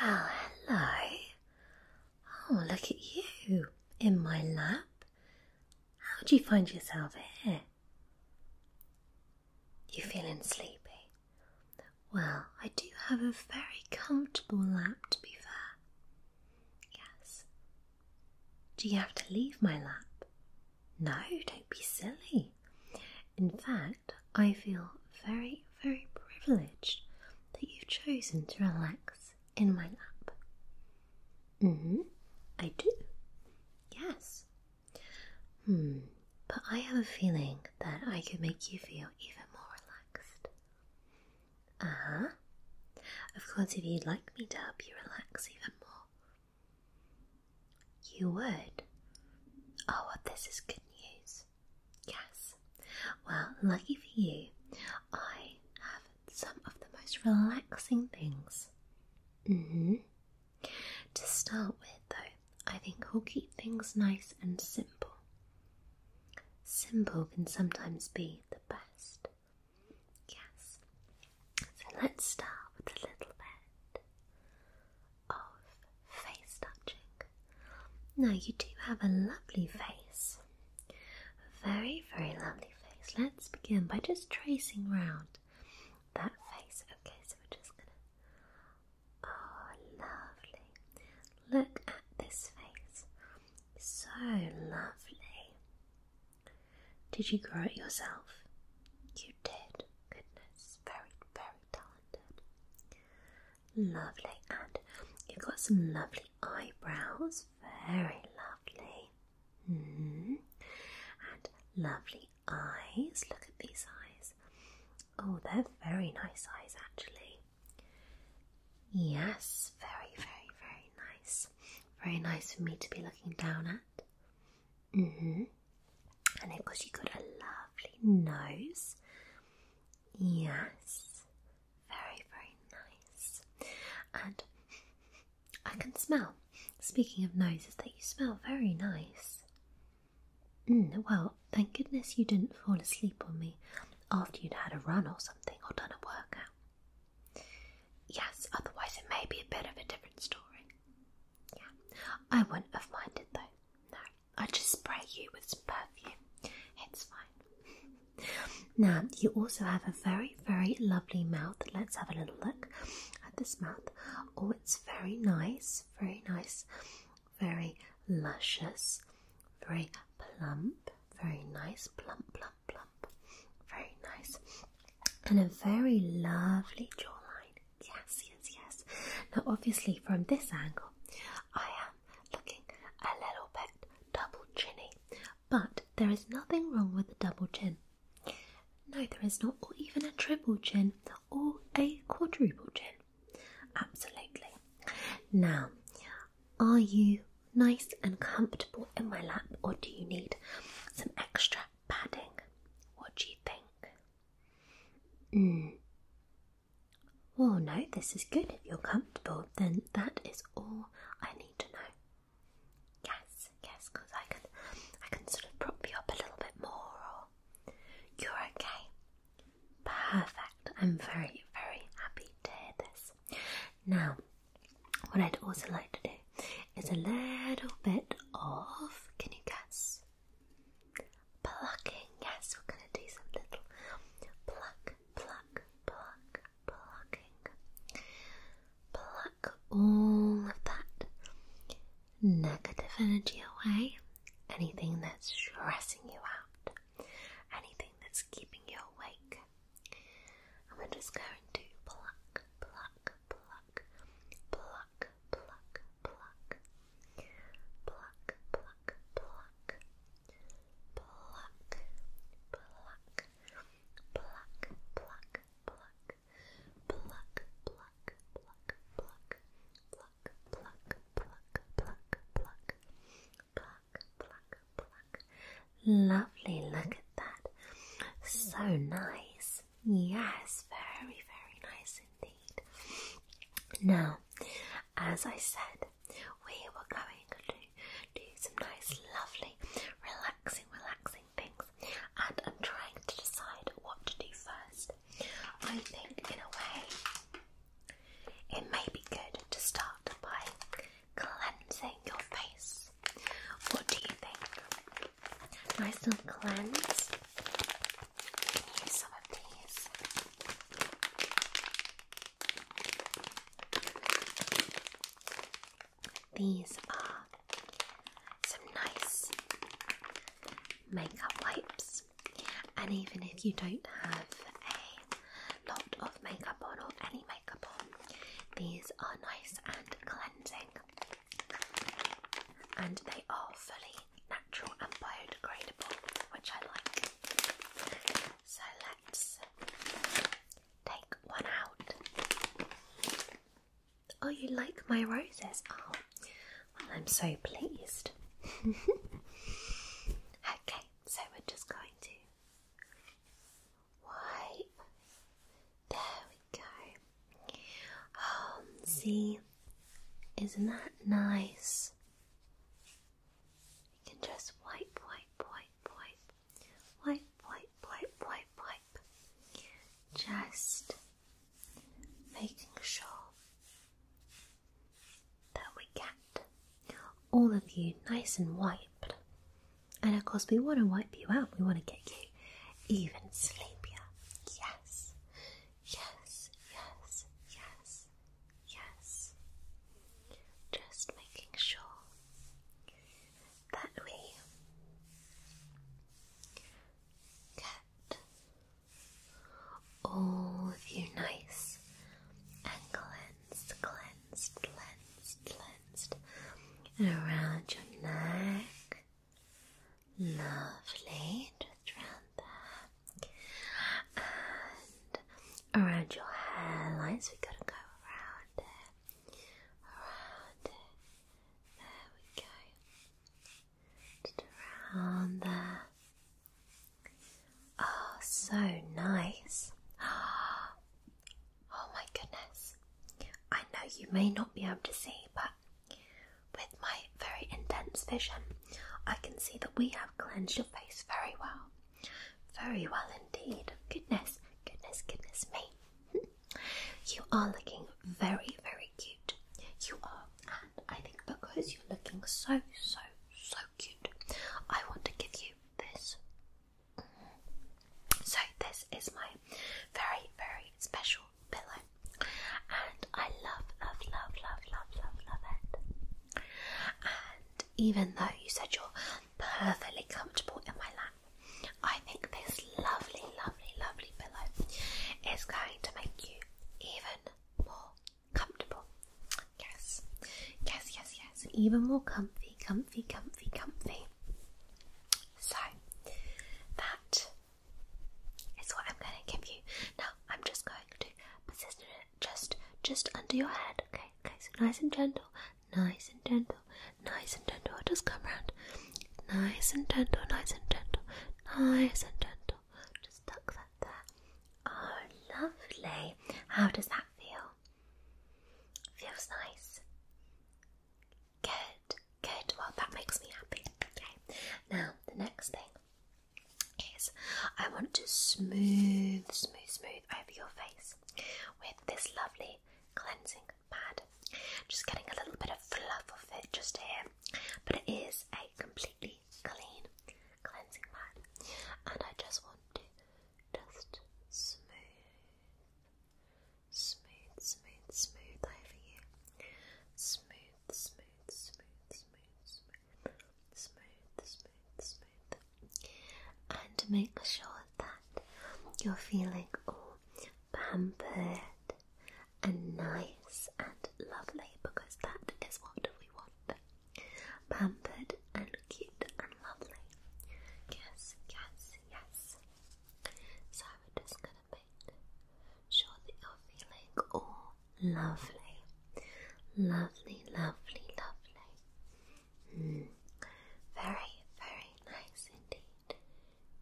Well, hello. Oh, look at you in my lap. How would you find yourself here? You feeling sleepy? Well, I do have a very comfortable lap to be fair. Yes. Do you have to leave my lap? No, don't be silly. In fact, I feel very, very privileged that you've chosen to relax in my lap. hmm, I do. Yes. Hmm, but I have a feeling that I could make you feel even more relaxed. Uh huh. Of course, if you'd like me to help you relax even more, you would. Oh, this is good news. Yes. Well, lucky for you, I have some of the most relaxing things. Mm-hmm. To start with, though, I think we'll keep things nice and simple. Simple can sometimes be the best. Yes. So let's start with a little bit of face touching. Now, you do have a lovely face. Very, very lovely face. Let's begin by just tracing round that face. Okay, so we're just gonna. Oh, lovely. Look at this face. So lovely. Did you grow it yourself? You did. Goodness, very, very talented. Lovely. And you've got some lovely eyebrows. Very lovely. Mm-hmm. And lovely eyes. Look at these eyes. Oh, they're very nice eyes, actually. Yes, very, very, very nice. Very nice for me to be looking down at. Mm hmm And of course, you've got a lovely nose. Yes, very, very nice. And I can smell. Speaking of noses, that you smell very nice. Mm, well, thank goodness you didn't fall asleep on me after you'd had a run or something or done a workout. Yes, otherwise it may be a bit of a different story. Yeah, I wouldn't have minded though i just spray you with some perfume. It's fine. now, you also have a very, very lovely mouth. Let's have a little look at this mouth. Oh, it's very nice, very nice, very luscious, very plump, very nice, plump, plump, plump, very nice, and a very lovely jawline. Yes, yes, yes. Now, obviously, from this angle, I am looking a little bit double chinny, but there is nothing wrong with a double chin. No, there is not, or even a triple chin, or a quadruple chin. Absolutely. Now, are you nice and comfortable in my lap, or do you need some extra padding? What do you think? Mm. Oh no, this is good. If you're comfortable, then that is all I need to know. Yes, yes, because I can, I can sort of prop you up a little bit more. Or you're okay. Perfect. I'm very, very happy to hear this. Now, what I'd also like to do is a little bit of. Can you guess? Plucking, yes, we're gonna do some little pluck, pluck, pluck, plucking. Pluck all of that negative energy away. Anything that's stressing you out, anything that's keeping you awake. And we're just going to pluck, pluck, pluck, pluck, pluck, pluck, pluck, pluck, pluck, pluck, pluck, pluck, pluck, pluck, pluck, pluck, pluck, pluck, pluck, pluck, pluck, pluck, pluck, pluck, pluck, pluck. Lovely, look at that. So nice. Yes, very, very nice indeed. Now, as I said, we were going to do some nice, lovely, relaxing, relaxing things, and I'm trying to decide what to do first. I think, in a way, it may be good to start by cleansing your face. What do you think? Nice little cleanse. These are some nice makeup wipes, and even if you don't have a lot of makeup on or any makeup on, these are nice and cleansing, and they are fully natural and biodegradable, which I like. So let's take one out. Oh, you like my roses? Oh, I'm so pleased. okay, so we're just going to wipe. There we go. Um, see, isn't that nice? You can just wipe, wipe, wipe, wipe, wipe, wipe, wipe, wipe, wipe. Just making sure that we get all of you nice and wiped. And of course, we want to wipe you out, we want to get you even sleepier. Yes, Yes, yes, yes, yes. Just making sure that we get all of you nice and cleansed, cleansed, cleansed, cleansed, and around your neck. Lovely, just round there around your hairline. So we gotta go around there, around there. There we go. around there. Oh, so nice. Oh my goodness. I know you may not be able to see, but with my very intense vision, I can see that we have cleansed your face very well. Very well indeed. Goodness, goodness, goodness me. you are looking very, very cute. You are, and I think because you're looking so, so, so cute, I want to give you this. So, this is my very, very special pillow. And I love, love, love, love, love, love, love it. And even though you said you're perfectly comfortable in my lap, I think this lovely, lovely, lovely pillow is going to make you even more comfortable. Yes, yes, yes, yes. Even more comfy, comfy, comfy, comfy. So, that is what I'm going to give you. Now, I'm just going to position it just just under your head. Okay, okay, so nice and gentle, nice and gentle, nice and gentle. just come around. Nice and gentle, nice and gentle, nice and gentle. Just tuck that there. Oh lovely. How does that feel? Feels nice. Good, good. Well that makes me happy. Okay. Now the next thing is I want to smooth, smooth, smooth over your face with this lovely cleansing pad. Just getting a little bit of fluff off it just here, but it is a completely clean cleansing pad, and I just want to just smooth, smooth, smooth, smooth over you. Smooth, smooth, smooth, smooth, smooth smooth, smooth, smooth, and make sure that you're feeling all pampered and nice and lovely because that is what we want. Pampered and cute and lovely. Yes, yes, yes. So we're just gonna make sure that you're feeling all Lovely, lovely, lovely, lovely. Mm. Very, very nice indeed.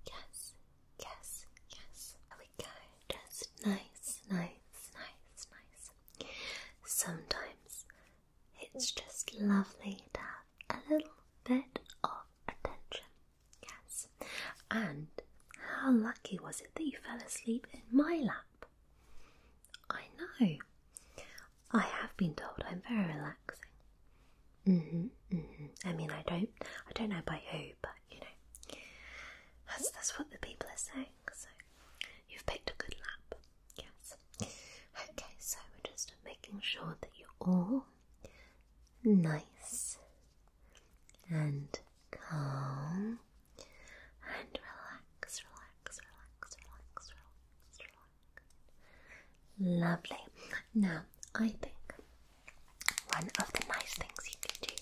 Yes, yes, yes. There we go. Just nice, nice, nice, nice. Sometimes it's just lovely to have a little bit of attention. Yes. And how lucky was it that you fell asleep in my lap? I know. I have been told I'm very relaxing. Mhm, mhm. I mean, I don't, I don't know by who, but you know, that's that's what the people are saying. So, you've picked a good lap. Yes. Okay, so we're just making sure that you're all nice and calm and relax, relax, relax, relax, relax, relax. Lovely. Now, I think one of the nice things you can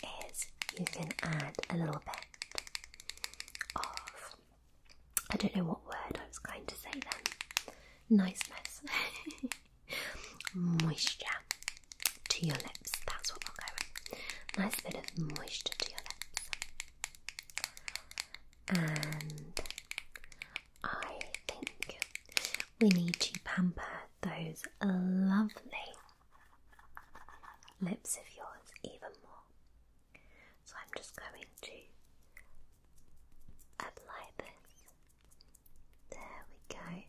do is you can add a little bit of, I don't know what word I was going to say then, niceness, moisture to your lips. That's what we'll go with. Nice bit of moisture to your lips. And I think we need to pamper those lovely lips of yours even more. So I'm just going to apply this. There we go.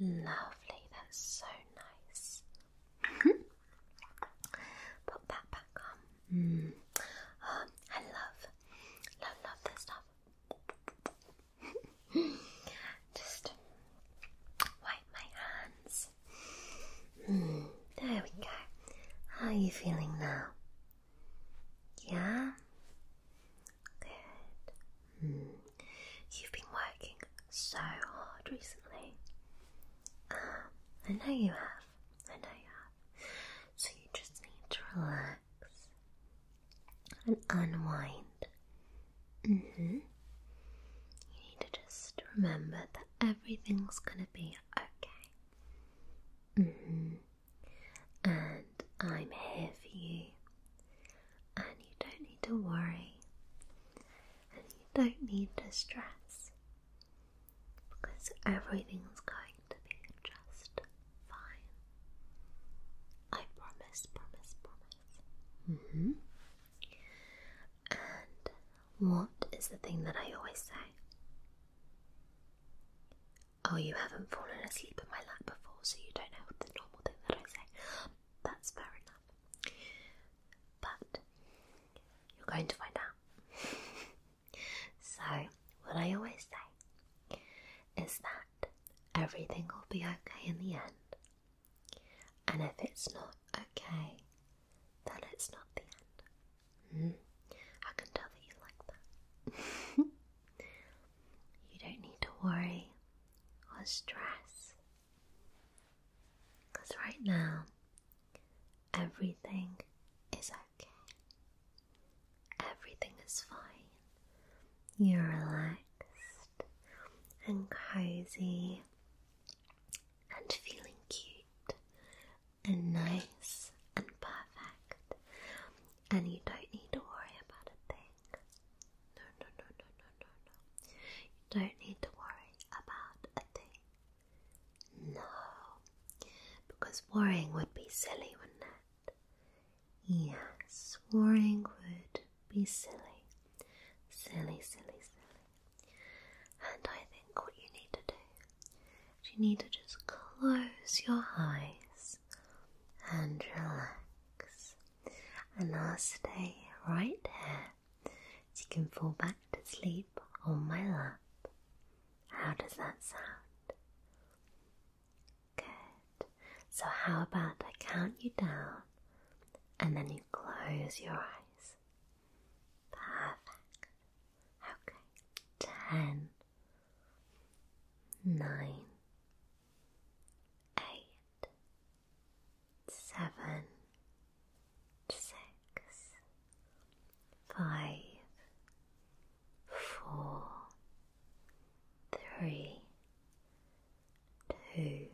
Lovely, that's so nice. Mm-hmm. Put that back on. Mm. Oh, I love, love, love this stuff. Just wipe my hands. Mm, there we go. How are you feeling now? Yeah? Good. Hmm. You've been working so hard recently. Uh, I know you have. I know you have. So you just need to relax and unwind. Mhm. you need to just remember that everything's gonna be okay. Mhm and I'm here for you, and you don't need to worry, and you don't need to stress because everything's going to be just fine. I promise, promise, promise. Mm-hmm. And what is the thing that I always say? Oh, you haven't fallen asleep in my lap before, so you don't know the normal thing that I say. That's fair enough. But you're going to find out. so, what I always say is that everything will be okay in the end. And if it's not okay, then it's not the end. Hmm? I can tell that you like that. You don't need to worry or stress. Because right now, everything is okay. Everything is fine. You're relaxed and cozy and feeling cute and nice and perfect and you don't need to worry about a thing. No, no, no, no, no, no, no. You don't need to worry about a thing. No, because worrying would be silly, wouldn't it? Yes, worrying would be silly. Silly, silly, silly. And I think what you need to do is you need to just close your eyes and relax. And I'll stay right here so you can fall back to sleep on my lap. How does that sound? Good. So, how about I count you down and then you close your eyes? Perfect. Okay. Ten nine, eight, seven, six, five, four, three, two,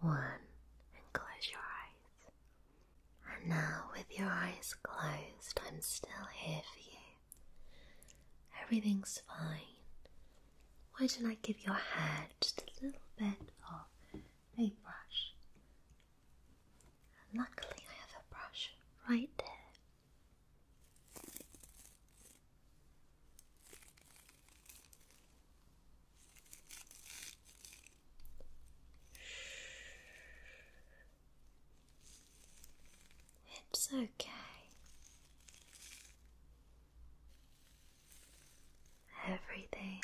one, and close your eyes. And now, with your eyes closed, I'm still here for you. Everything's fine. Why don't I give your hair just a little bit of a brush? luckily, I have a brush right there. It's okay. Everything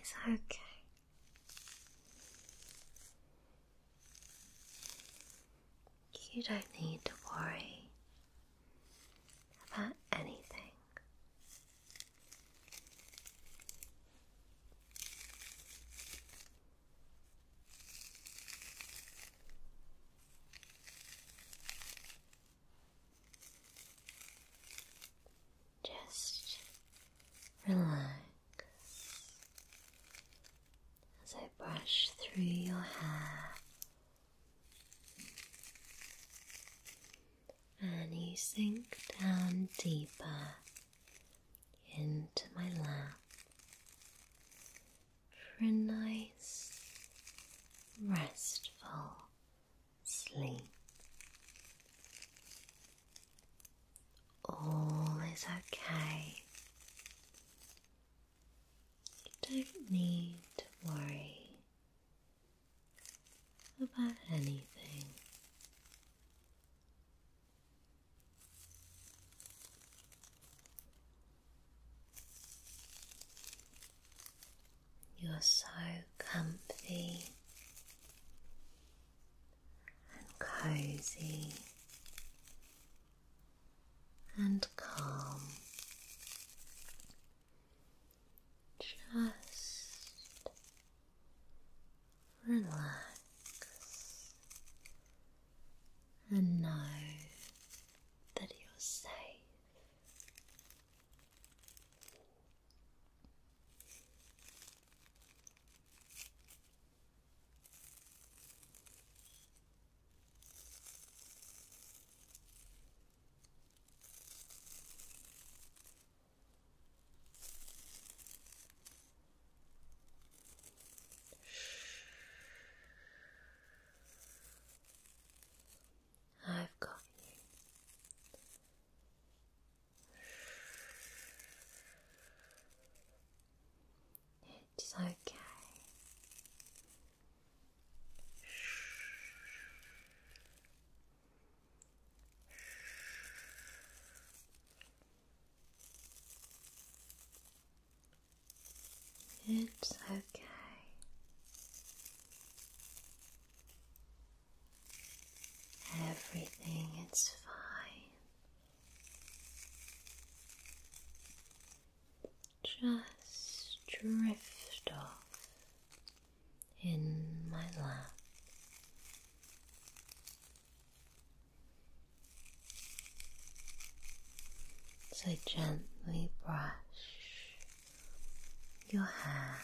is okay. You don't need to worry about anything. Just relax as I brush through your hair and you sink down deeper into my lap for a nice, restful sleep. All is okay. You don't need to worry about anything. You're so comfy and cozy and calm. Just relax, and know that you're safe. I've got you. It's okay. It's okay. Everything is fine. Just drift off in my lap. So gently brush your hair.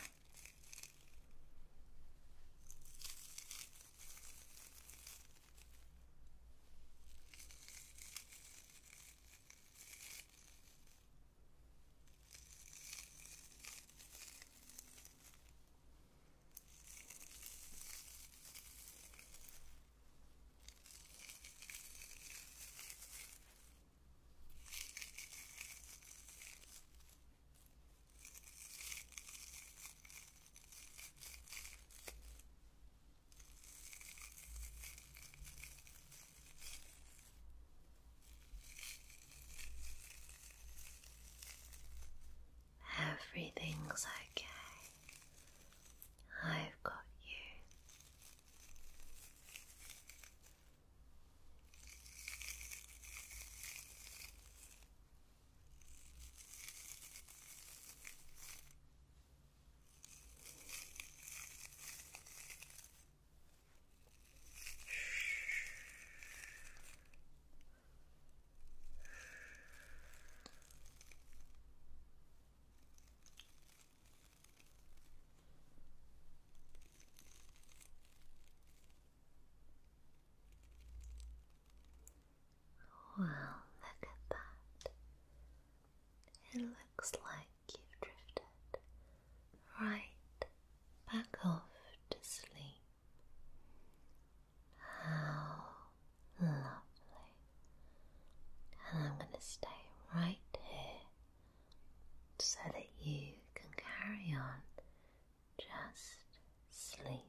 Everything's okay. I've got you. Well, look at that. It looks like you've drifted right back off to sleep. How lovely. And I'm going to stay right here so that you can carry on just sleeping.